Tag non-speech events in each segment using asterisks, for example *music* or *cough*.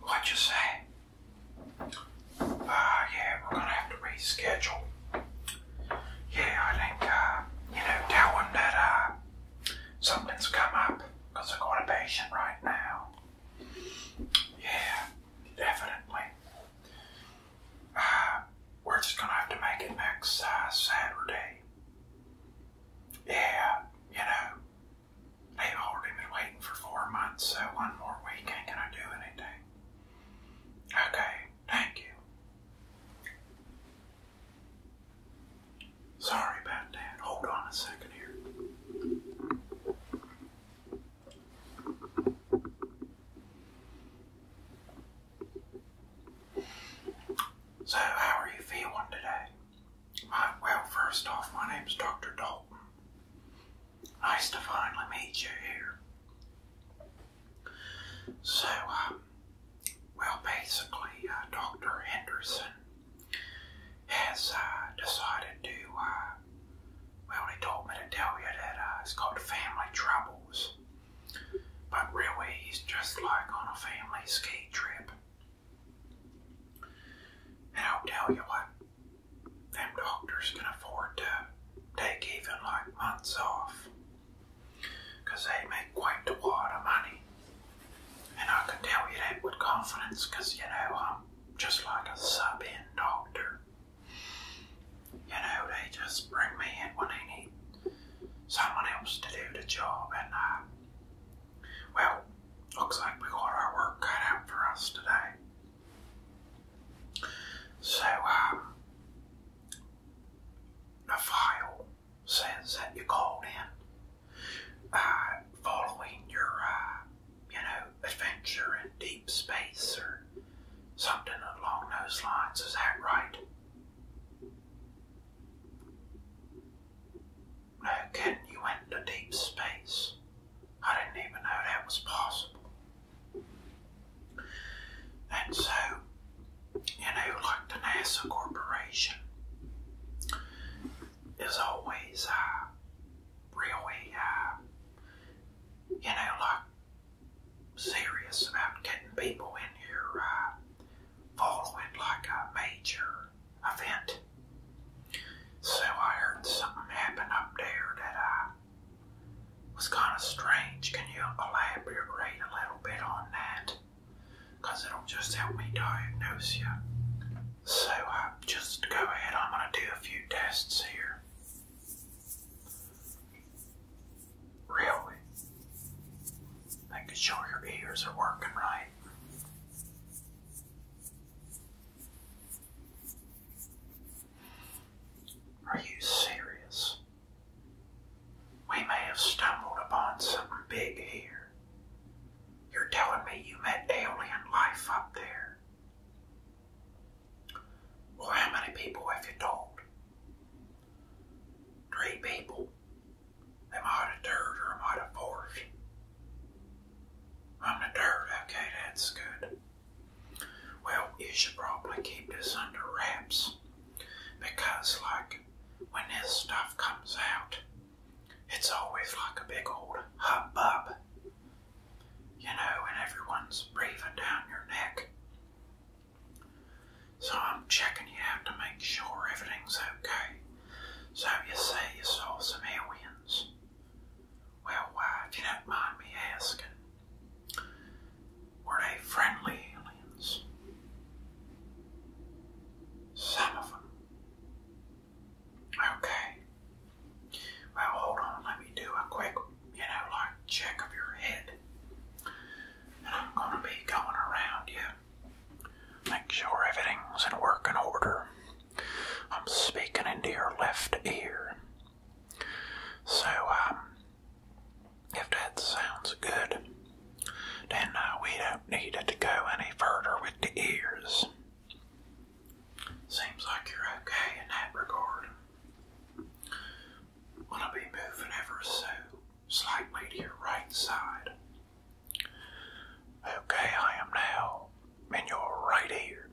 What you say? Ah, yeah, we're gonna have to reschedule. Yeah, I think uh, you know, tell them that uh, something's come up I've got a patient right now. Yeah, definitely uh, *sighs* we're just gonna have to make it next Saturday. Yeah, you know, they've already been waiting for four months, so one more week ain't gonna do anything. Okay, thank you. Sorry about that. Hold on a second here. So, how are you feeling today? well, first off, my name's Dr. Dalton. Nice to finally meet you here. So, um, well, basically, uh, Dr. Henderson has uh, decided to uh, well, he told me to tell you that uh, it's family troubles, but really he's just like on a family ski trip. And I'll tell you what, them doctors can afford to take even like months off, because they make quite a lot of money. And I can tell you that with confidence, because you know I'm just like a sub-in doctor. You know, they just bring me in when they need someone else to do the job, and uh, well, looks like we got our work cut out for us today. So, um, the file says that you called in uh, following your uh, you know, adventure in deep space or something along those lines. Is that right? No kidding, you went deep space. I didn't even know that was possible. And so, you know, like the NASA Corporation is always uh, really uh, you know, like serious about getting people in here uh, following like a major event. So I heard something happen up there that I uh, was kind of strange. Can you elaborate a little bit on that? Because it'll just help me diagnose you so uh, just go ahead, I'm going to do a few tests here. Really? Making sure your ears are working right. Are you serious? We may have stumbled upon something big here. You're telling me you met alien life up there. Well, how many people have you told? Three people. Am I the third or am I the fourth? I'm the third. Okay, that's good. Well, you should probably keep this under wraps because, like, when this stuff comes out, it's always like a big old hubbub you know, and everyone's breathing down your neck. So I'm checking you out to make sure everything's okay. So you say you saw some aliens. Well, why, you don't mind me asking, were they friendly aliens? Some of them. Okay. Well, hold on. Let me do a quick, you know, like check of your head. And I'm going to be going around you. Make sure everything's in working order. I'm speaking into your left ear. So, um, if that sounds good, then uh, we don't need it to go any further with the ears. Seems like you're okay in that regard. i to be moving ever so slightly to your right side. Okay, I am now in your right ear.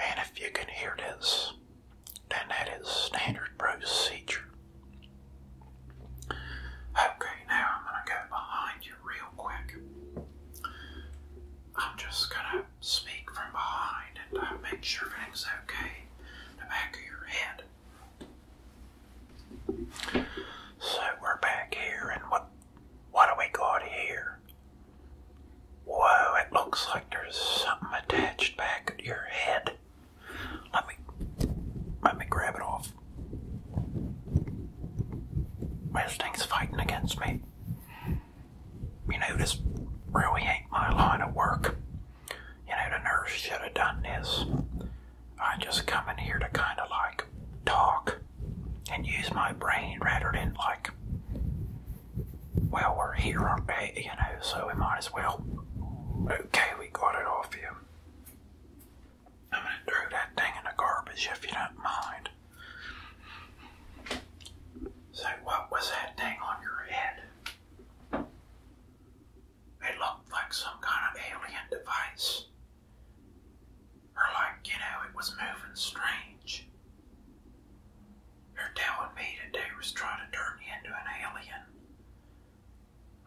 And if you can hear this, then that is standard procedure. Okay, now I'm going to go behind you real quick. I'm just gonna speak from behind and uh, make sure everything's okay in the back of your head. So we're back here, and what what do we got here? Whoa! It looks like there's something attached back at your head. Let me let me grab it off. This thing's fighting against me. You know, this really ain't my line of work. You know, the nurse should have done this. I just come in here to kind of like talk and use my brain rather than like, well, we're here, are You know, so we might as well. Okay, we got it all for you. I'm going to throw that thing in the garbage if you don't mind. So, what was that thing on your head? It looked like some kind of alien device. Or, like, you know, it was moving strange. They're telling me that they was trying to turn you into an alien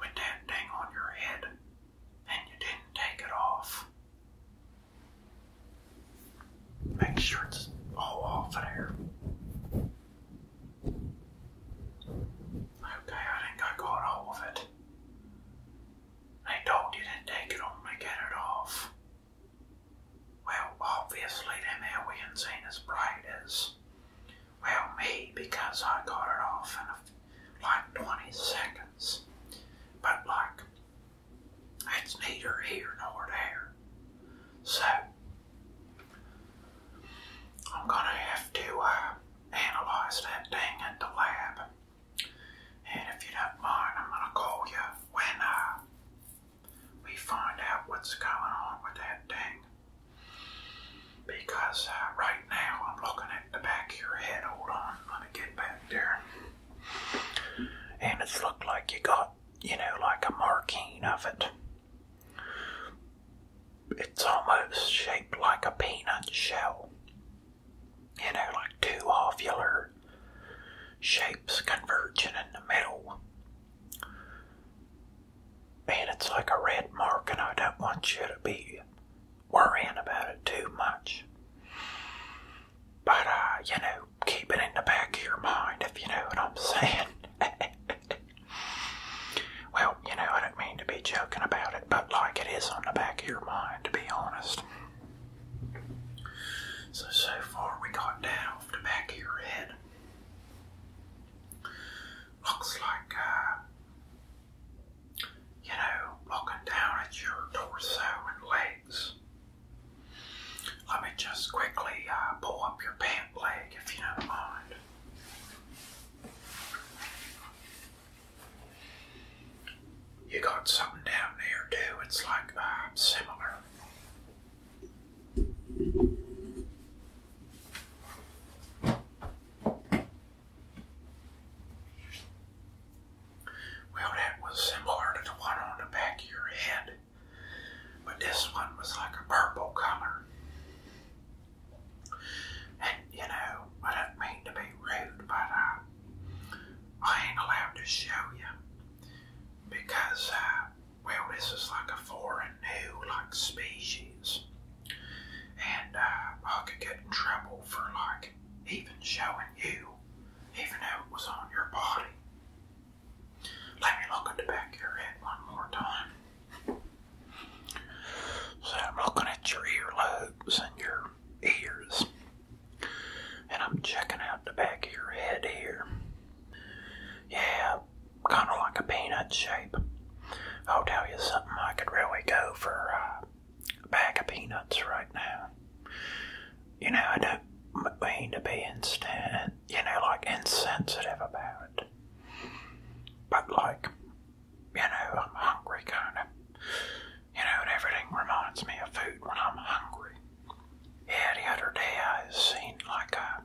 with that thing on your head, and you didn't take it off. Make sure it's all oh, off oh, there. Okay, I think I got all of it. They told you to take it on to get it off. Well, obviously them aliens ain't as bright as, well, me, because I got it off in like 20 seconds. But like, that's neither here nor there. So, I'm gonna have to uh, analyze that thing at the lab. And if you don't mind, I'm gonna call you when uh, we find out what's going on with that thing. Because uh, right now I'm looking at the back of your head. Hold on, let get back there. And it's looked like you got, you know, like a marking of it. It's almost shaped like a peanut shell. You know, like two ovular shapes converging in the middle. And it's like a red mark, and I don't want you to be worrying about it too much. But, uh, you know, keep it in the back of your mind, if you know what I'm *laughs* saying. well, you know, I don't mean to be joking about it, but like it is on the back of your mind, to be honest. So, so far we got down off the back of your head. Looks like, uh, you know, looking down at your torso and legs. Let me just quickly uh, pull up your pant leg if you don't mind. You got something down there too, it's like uh, similar. Well, that was similar to the one on the back of your head, but this one was like a purple color. And you know, I don't mean to be rude, but I, I ain't allowed to show you because, uh, well, this is like a foreign new like species and uh, I could get in trouble for like even showing you, even though it was on your body. Let me look at the back of your head one more time. So I'm looking at your earlobes and your ears, and I'm checking out the back of your head here. Yeah, kind of like a peanut shape. I'll tell you something, I could really go for a bag of peanuts right now. You know, I don't mean to be instant, you know, like insensitive about it. But like, you know, I'm hungry kind of. You know, and everything reminds me of food when I'm hungry. Yeah, the other day I seen like a,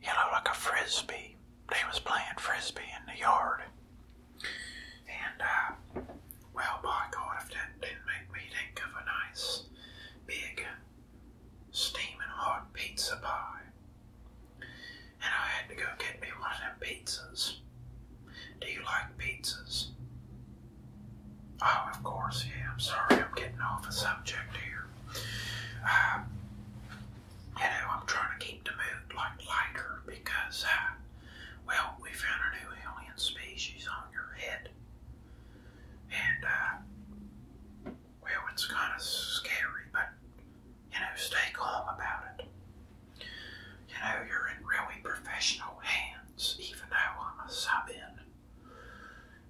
you know, like a frisbee they was playing frisbee in the yard. And, uh, well, by God, that didn't make me think of a nice, big, steaming hot pizza pie. And I had to go get me one of them pizzas. Do you like pizzas? Oh, of course, yeah. I'm sorry, I'm getting off the subject here. Uh, you know, I'm trying to keep the mood like lighter because, uh, well, we found a new alien species on your head. And, uh, well, it's kind of scary, but, you know, stay calm about it. You know, you're in really professional hands, even though I'm a sub in.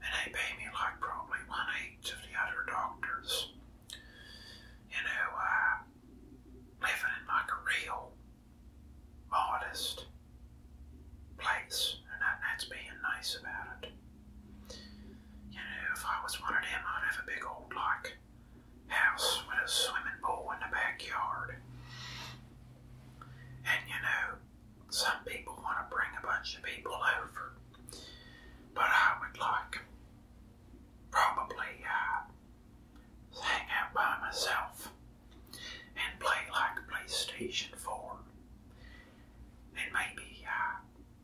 And they pay me like probably one eighth of the other doctors you know, uh, living in like a real modest place, and that, that's being nice about it. You know, if I was one of them, I'd have a big old like house with a swimming pool in the backyard. And you know, some people want to bring a bunch of people over, but I would like probably uh, hang out by myself and play like PlayStation 4 and maybe uh,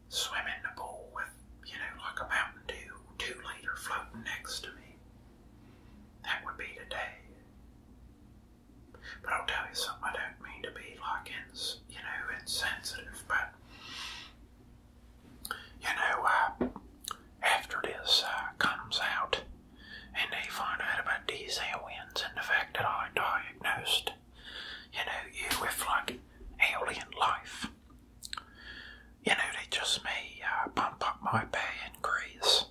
swim in the pool with, you know, like a Mountain Dew 2 liter floating next to me. That would be the day. But I'll tell you something, I don't mean to be like, you know, insensitive, but you know, uh, after this uh, comes out and they find out about these aliens and the fact that I diagnosed, you know, you with like alien life, you know, they just may uh, bump up my pay increase.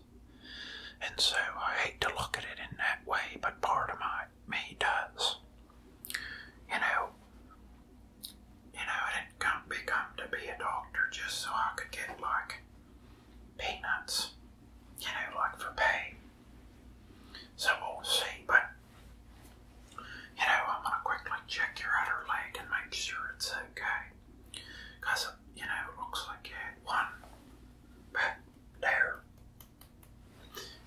And so I hate to look at it in that way, but part of my me does. You know, you know, I didn't come to be a doctor just so I could get like peanuts, you know, like for pay. So we'll see, but you know, I'm gonna quickly check your other leg and make sure it's okay. you know, it looks like you had one back there,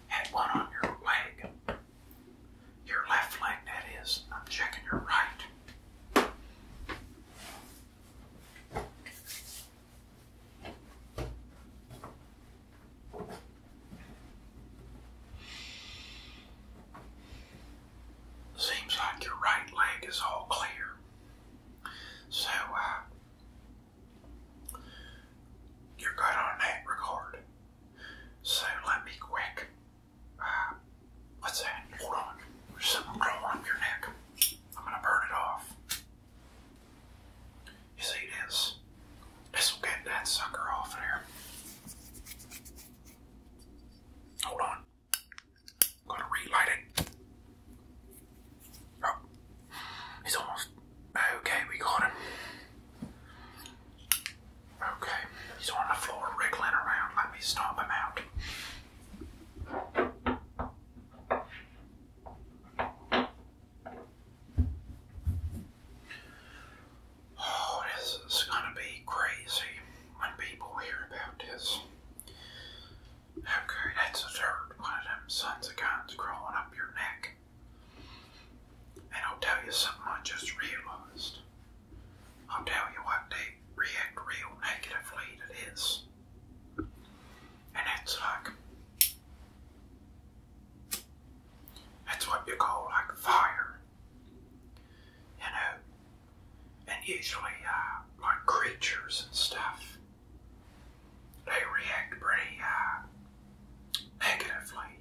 had one on your leg. Your left leg, that is. I'm checking your right. Seems like your right leg is all clear. So, uh, you're good on that regard. So let me quick. Uh, what's that? Hold on. There's something growing up your neck. I'm gonna burn it off. You see this? This will get that sucker off there. Hold on. gonna relight it. Oh, he's almost okay. We got him. Okay, he's on the floor wriggling around. Let me stomp him out. Oh, this is gonna be crazy when people hear about this. Okay, that's the third one of them sons of guns crawling up your neck. And I'll tell you something I just realized. I'll tell you what they react real negatively to this. And it's like, that's what you call like fire. You know, and usually uh, like creatures and stuff, they react pretty uh, negatively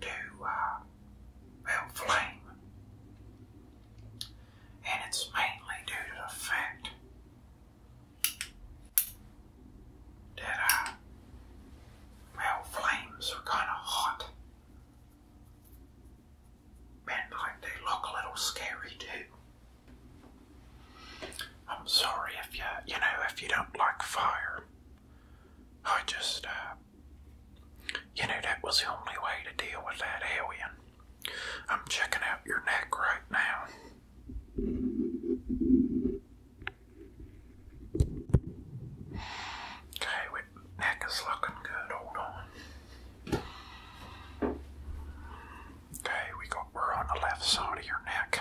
to uh, flame. And it's mainly due to the fact that, uh, flames are kind of hot. And like they look a little scary too. I'm sorry if you, you know, if you don't like fire. I just, uh, you know, that was the only way to deal with that alien. I'm checking out your neck right now. Okay, neck is looking good. Hold on. Okay, we got we're on the left side of your neck.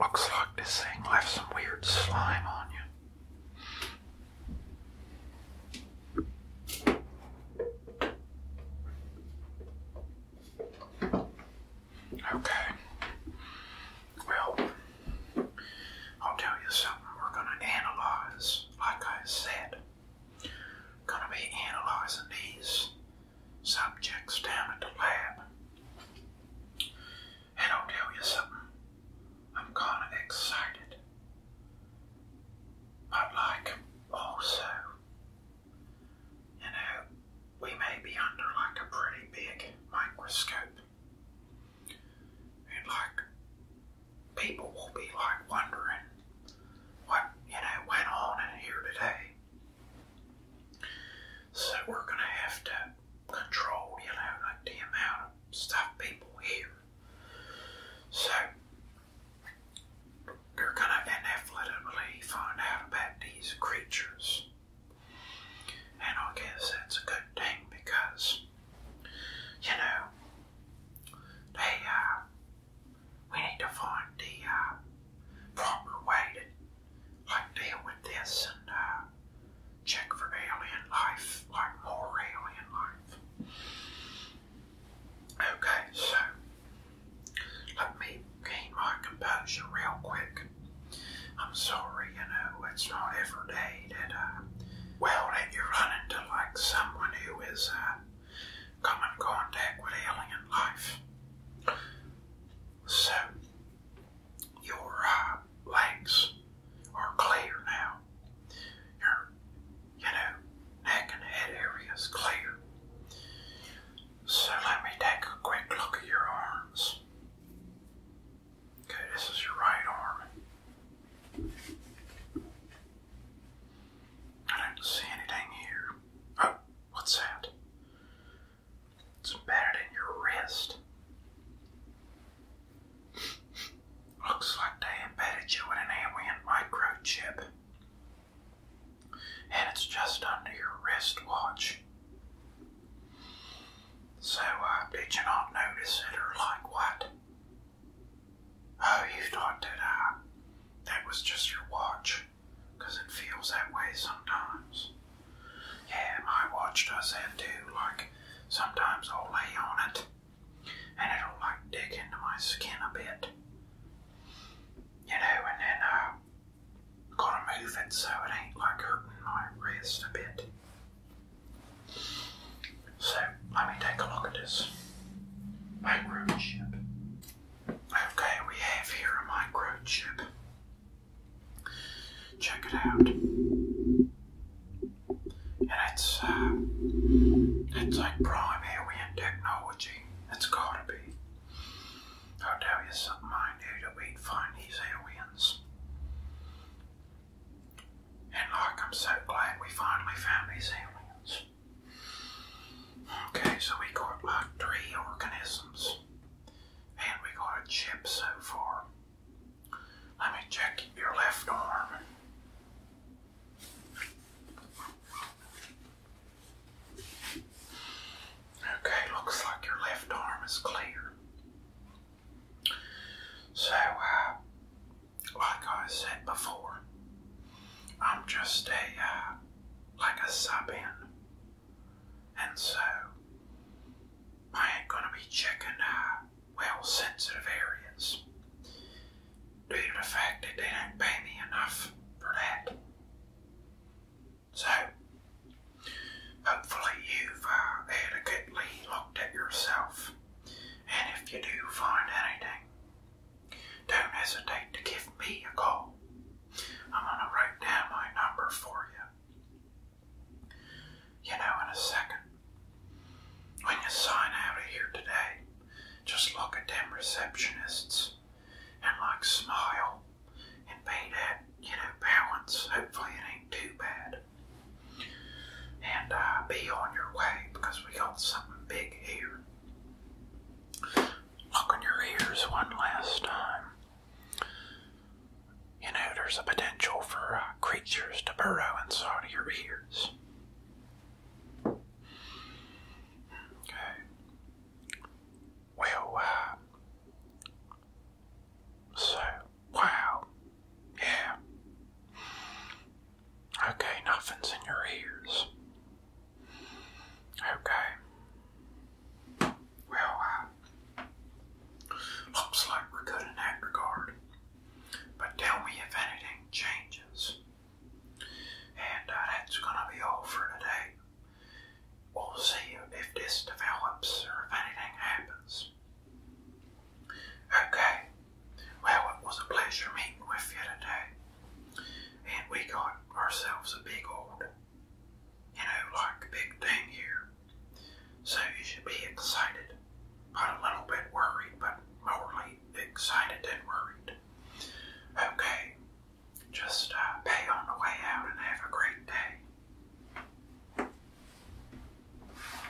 Looks like this thing left some weird slime on you. Okay. Well, I'll tell you something we're going to analyze, like I said. Gonna be analyzing these subjects down at the lab. And I'll tell you something, I'm kinda excited. But like also, you know, we may be under like a pretty big microscope. And like people will be like wondering what you know went on in here today. So we're gonna have to control, you know, like the amount of people hear. So you're gonna inevitably find out about these creatures. And I guess that's a good thing because, you know, they uh, we need to find the uh, proper way to like deal with this and uh, check for alien life, like more alien life. Okay, so let me gain my composure real quick. I'm sorry, you know, it's not every day that, uh, well, that you run into like someone who is, uh, come in contact with alien life. So, your uh, legs are clear now. Your, you know, neck and head area clear. So let me take a quick look at your arms. Okay, this is your right arm. I don't see anything here. Oh, what's that? It's embedded in your wrist. *laughs* Looks like they embedded you with an alien microchip. And it's just under your wristwatch. So, uh, did you not notice it or like what? Oh, you thought that uh, that was just your watch, because it feels that way sometimes. Yeah, my watch does that too. Like, sometimes I'll lay on it, and it'll like dig into my skin a bit. You know, and then uh, gotta move it so it ain't like hurting my wrist a bit. So let me take a look at this microchip. Okay, we have here a microchip. Check it out. And it's uh, it's like prime alien technology. It's gotta be. I'll tell you something I knew that we find these aliens. And like I'm so glad we finally found these aliens. Okay, so we got like uh, three organisms. And we got a chip so far. Let me check your left arm. Okay, looks like your left arm is clear. So, uh, like I said before, I'm just a uh, like a sub and so I ain't gonna be checking uh, well sensitive areas due to the fact that they don't pay me enough for that. So hopefully you've uh, adequately looked at yourself. And if you do find anything, don't hesitate to give me a call. I'm going to write down my number for you. You know, in a second, when you sign out of here today, just look at them receptionists and like smile and pay that, you know, balance. Hopefully, it ain't too bad and uh, be on your way because we got something big here. Look your ears one last time. You know, there's a potential for uh, creatures to burrow inside your ears. Okay. Well, uh, so, wow. Yeah. Okay, nothing's in your ears. Okay. Well, looks like we're good in that regard. But tell me if anything changes. And uh, that's going to be all for today. We'll see if this develops or if anything happens. Okay, well, it was a pleasure meeting with you today. And we got ourselves a big old, you know, like big thing here. So you should be excited, but a little bit worried, but morely excited and worried. Okay, just uh, pay on the way out and have a great day.